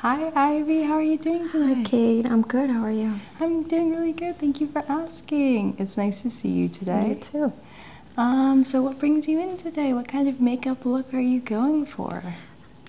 Hi, Ivy. How are you doing today? Hi, Kate. I'm good. How are you? I'm doing really good. Thank you for asking. It's nice to see you today. You too. Um, so what brings you in today? What kind of makeup look are you going for?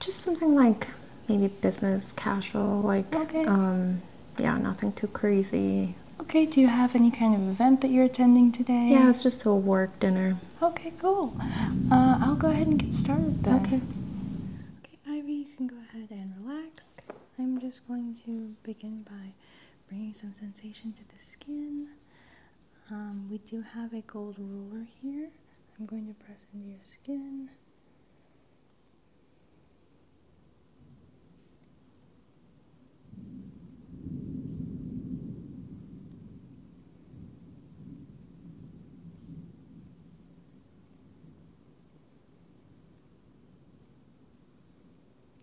Just something like maybe business casual, like um, yeah, nothing too crazy. Okay, do you have any kind of event that you're attending today? Yeah, it's just a work dinner. Okay, cool. Uh, I'll go ahead and get started then. Okay. Okay, Ivy, you can go ahead and relax. I'm just going to begin by bringing some sensation to the skin. Um, we do have a gold ruler here. I'm going to press into your skin.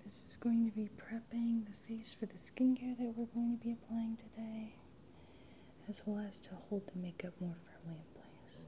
This is going to be prepping the face for the skincare that we're going to be applying today, as well as to hold the makeup more firmly in place.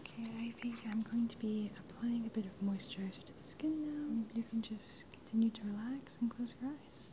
Okay, I think I'm going to be applying a bit of moisturizer to the skin now. You can just continue to relax and close your eyes.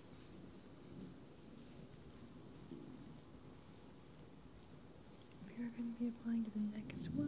We are going to be applying to the neck as well.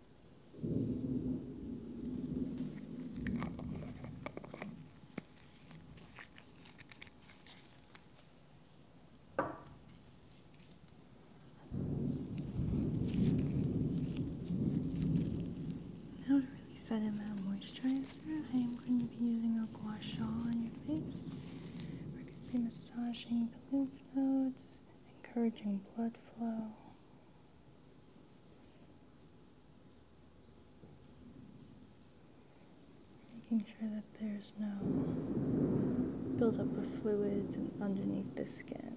Now to really set in that moisturizer, I am going to be using a gua sha on your face. We're going to be massaging the lymph nodes, encouraging blood flow. Making sure that there's no buildup of fluids underneath the skin.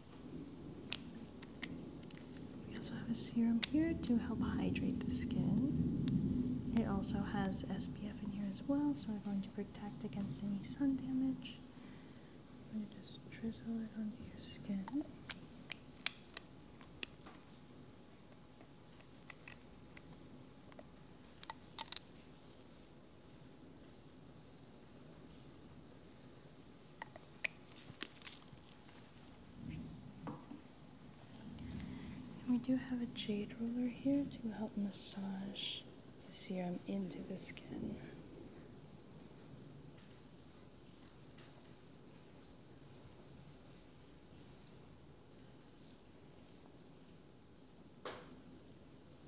We also have a serum here to help hydrate the skin. It also has SPF in here as well, so we're going to protect against any sun damage. I'm going to just drizzle it onto your skin. And we do have a jade roller here to help massage the serum into the skin.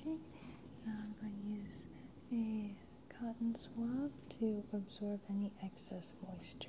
Okay, now I'm going to use a cotton swab to absorb any excess moisture.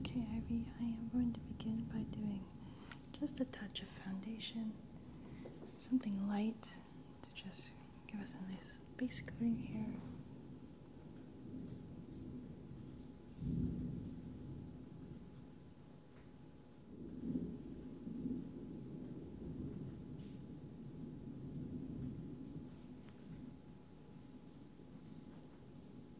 Okay, Ivy, I am going to begin by doing just a touch of foundation, something light to just give us a nice base coating here.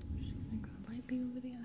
I'm just going to go lightly over the eyelids.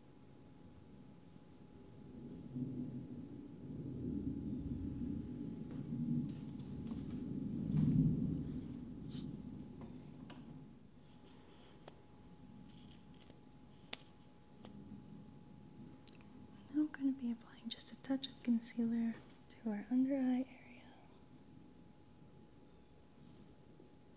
Now I'm going to be applying just a touch of concealer to our under eye area.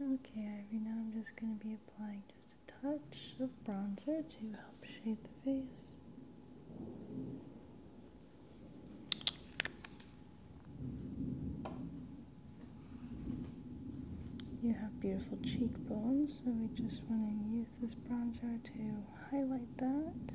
Okay, Ivy, now I'm just going to be applying just a touch of bronzer to help shade the face. You have beautiful cheekbones, so we just want to use this bronzer to highlight that.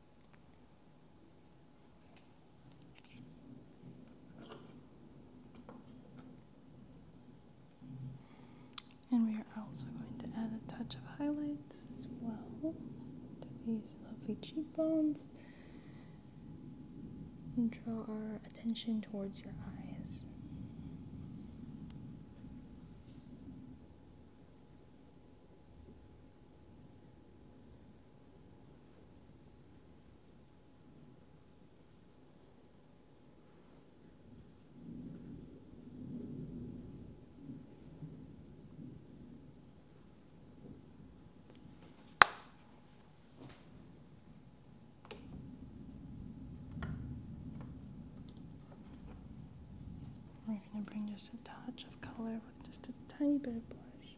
And we are also going to add a touch of highlights as well to these lovely cheekbones and draw our attention towards your eyes. We're going to bring just a touch of color with just a tiny bit of blush.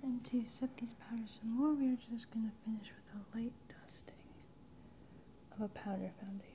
And to set these powders some more, we are just going to finish with a light dusting of a powder foundation.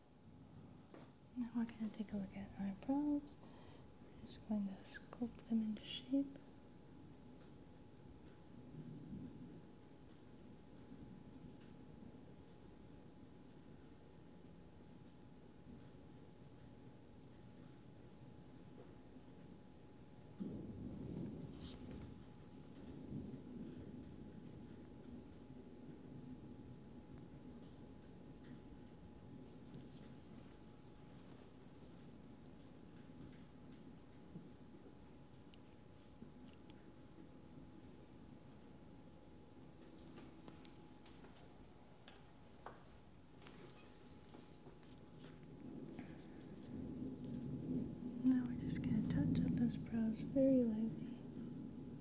Now we're going to take a look at eyebrows. We're just going to sculpt them into shape. Now we're just going to touch up those brows very lightly.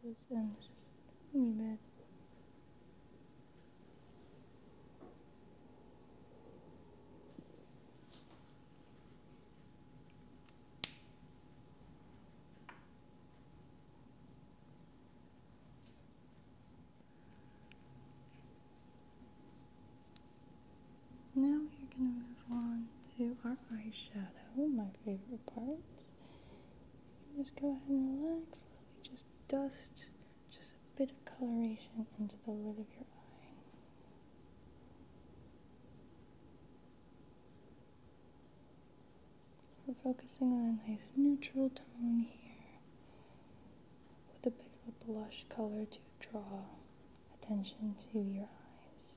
Collapses and just leave it. Now we're going to move on to our eyeshadow, my favorite part. You can Just go ahead and relax while we just dust just a bit of coloration into the lid of your eye. We're focusing on a nice neutral tone here with a bit of a blush color to draw attention to your eyes.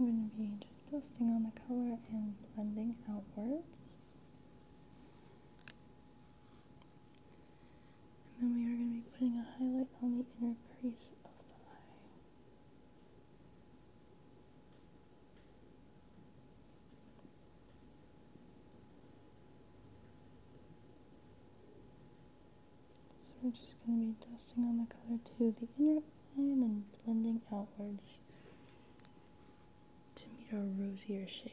I'm going to be just dusting on the color and blending outwards. And then we are going to be putting a highlight on the inner crease of the eye. So we're just going to be dusting on the color to the inner line and blending outwards to meet our rosier shade.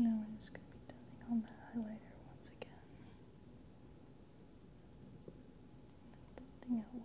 Now we're just going to be dabbing on the highlighter once again. And outwards.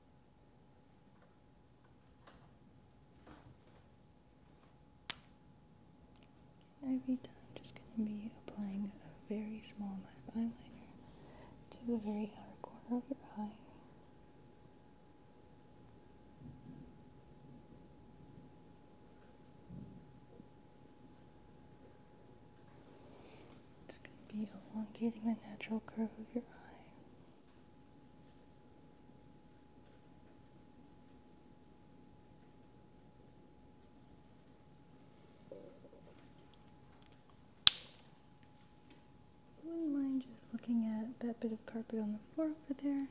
Every I'm just going to be applying a very small amount of eyeliner to the very outer corner of your eye. It's going to be elongating the natural curve of your eye. Wouldn't mind just looking at that bit of carpet on the floor over there.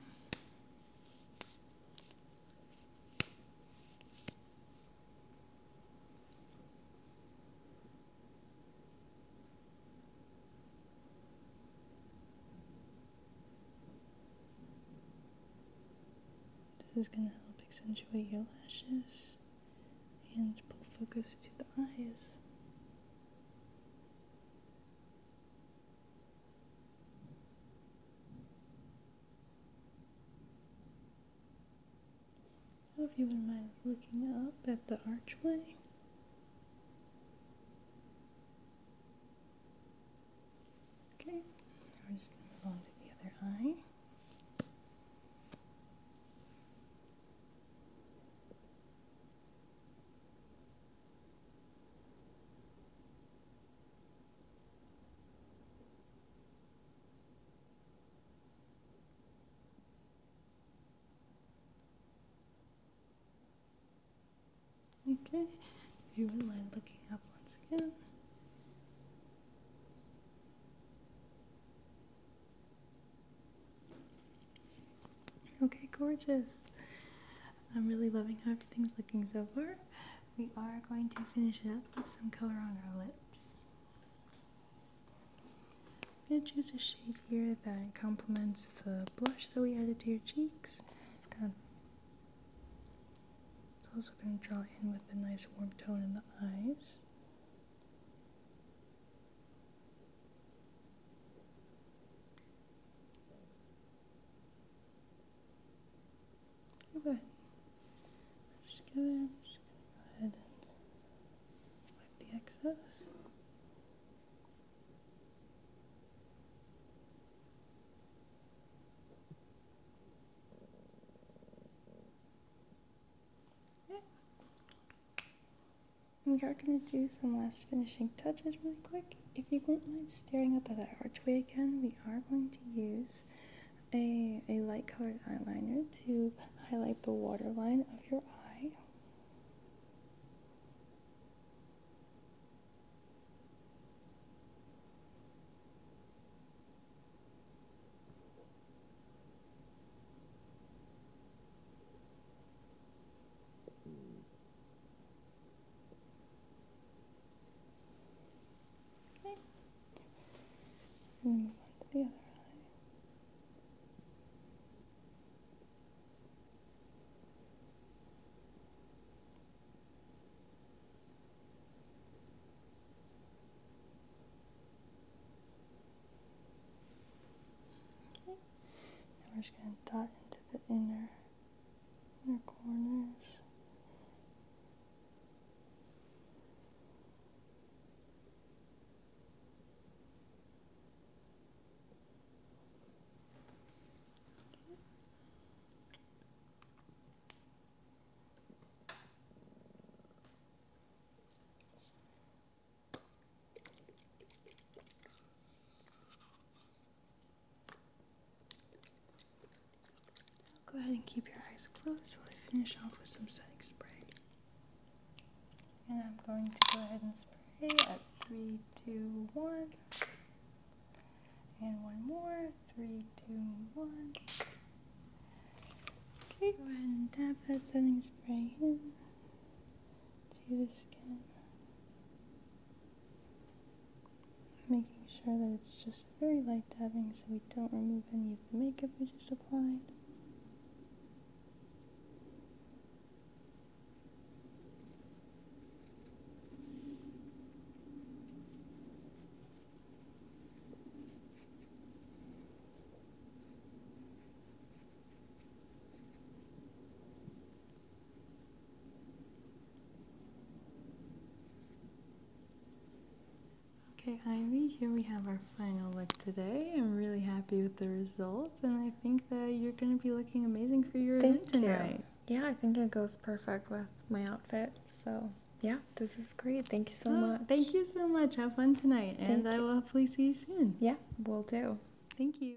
This is going to help accentuate your lashes and pull focus to the eyes. So if you wouldn't mind looking up at the archway. Okay, now we're just going to move on to the other eye. Okay, if you wouldn't mind looking up once again. Okay, gorgeous. I'm really loving how everything's looking so far. We are going to finish up with some color on our lips. I'm going to choose a shade here that complements the blush that we added to your cheeks. It's also going to draw in with a nice warm tone in the eyes. Go ahead. Just together. i just go ahead and the excess. We are going to do some last finishing touches really quick. If you won't mind staring up at that archway again, we are going to use a, a light colored eyeliner to and highlight the waterline of your eye. move on to the other eye we're just going to dot into the inner inner corners. Go ahead and keep your eyes closed while I finish off with some setting spray. And I'm going to go ahead and spray at three, two, one. And one more, three, two, one. Okay, go ahead and dab that setting spray in to the skin. Making sure that it's just very light dabbing, so we don't remove any of the makeup we just applied. Okay, Ivy, here we have our final look today. I'm really happy with the results, and I think that you're going to be looking amazing for your event tonight. Yeah, I think it goes perfect with my outfit. So, yeah, this is great. Thank you so oh, much. Thank you so much. Have fun tonight, and I will hopefully see you soon. Yeah, we will do. Thank you.